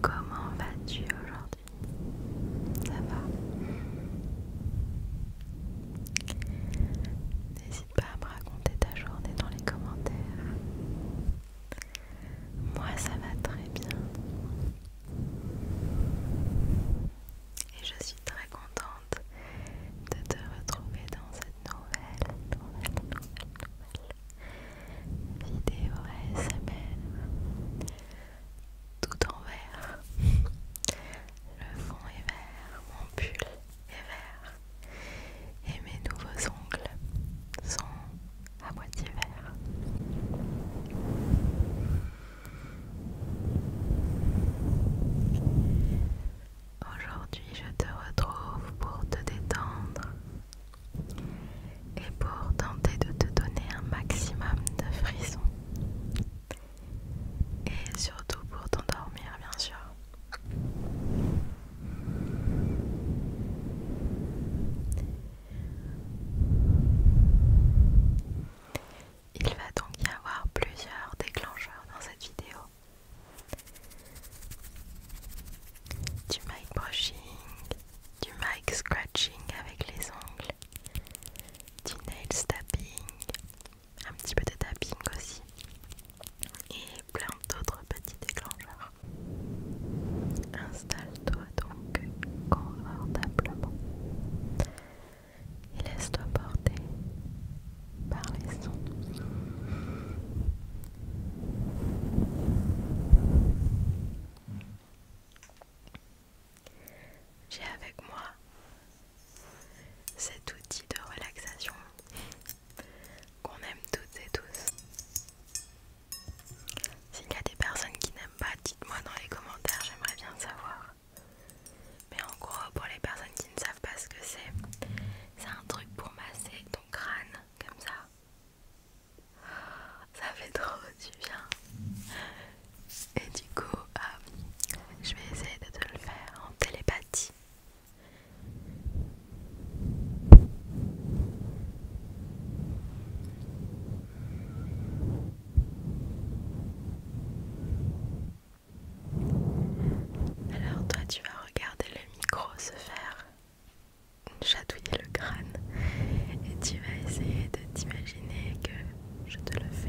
Comment vas-tu aujourd'hui Ça va N'hésite pas à me raconter ta journée dans les commentaires. Moi, ça va très bien. Et je suis très contente de te retrouver dans cette nouvelle, nouvelle, nouvelle, nouvelle, vidéo SML tout en vert le fond est vert mon pull est vert et mes nouveaux ongles sont à moitié verts Aujourd'hui, je te retrouve pour te détendre, et pour tenter de te donner un maximum de frissons et surtout pour t'endormir bien sûr. Il va donc y avoir plusieurs déclencheurs dans cette vidéo du mic brushing, du mic scratching avec les ongles, du nail tapping, un petit peu de tapping aussi et plein d'autres petits déclencheurs. Installe-toi donc confortablement et laisse-toi porter par les sons. J'ai avec moi cet outil de relaxation qu'on aime toutes et tous. S'il y a des personnes qui n'aiment pas, dites-moi dans les commentaires, j'aimerais bien savoir. Mais en gros, pour les personnes qui ne savent pas ce que c'est, c'est un truc pour masser ton crâne, comme ça. Ça fait trop du bien. Et du coup, euh, je vais essayer de te le faire en télépathie. Alors toi tu vas regarder le micro se faire chatouiller le crâne et tu vas essayer de t'imaginer que je te le fais.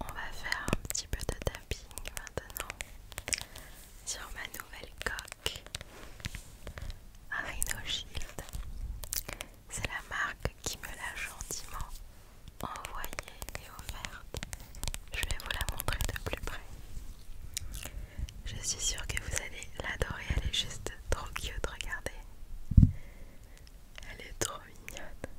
On va faire un petit peu de tapping maintenant sur ma nouvelle coque Rhino Shield. C'est la marque qui me l'a gentiment envoyée et offerte. Je vais vous la montrer de plus près. Je suis sûre que vous allez l'adorer, elle est juste trop cute, regardez. Elle est trop mignonne.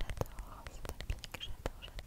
J'adore ce papier que j'adore, j'adore.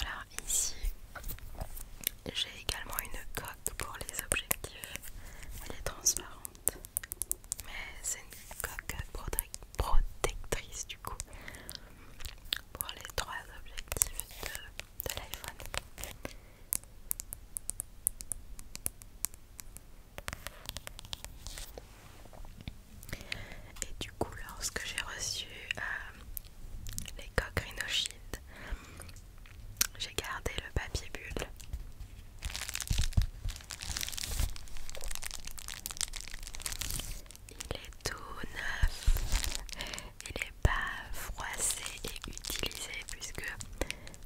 Alors ici, j'ai également une coque pour les objectifs. Elle est transparente, mais c'est une coque protectrice du coup pour les trois objectifs de, l'iPhone. Et du coup, lorsque j'ai reçu euh, les coques j'ai gardé le papier bulle. Il est tout neuf, il n'est pas froissé et utilisé puisque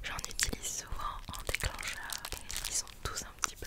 j'en utilise souvent en déclencheur et ils sont tous un petit peu.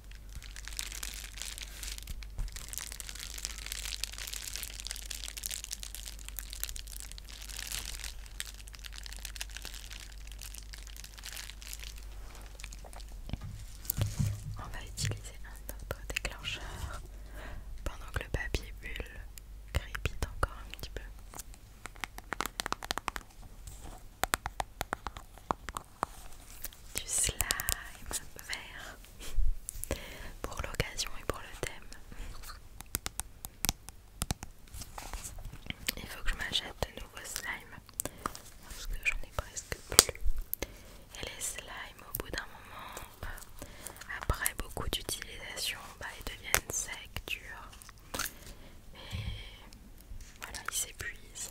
On va utiliser un autre déclencheur pendant que le papier bulle crépite encore un petit peu du slime vert pour l'occasion et pour le thème. Il faut que je m'achète de nouveaux slimes parce que j'en ai presque plus. Et les slimes, au bout d'un moment, euh, après beaucoup d'utilisation, bah, ils deviennent secs, durs. Et voilà, ils s'épuisent.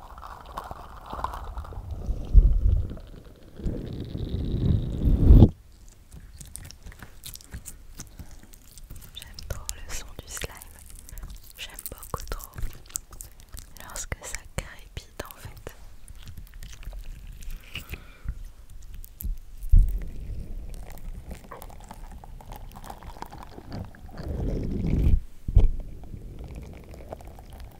J'aime trop le son du slime. J'aime beaucoup trop lorsque ça crépite en fait.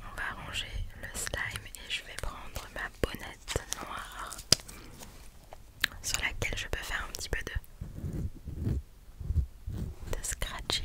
on va ranger le slime et je vais prendre ma bonnette sur laquelle je peux faire un petit peu de, scratching.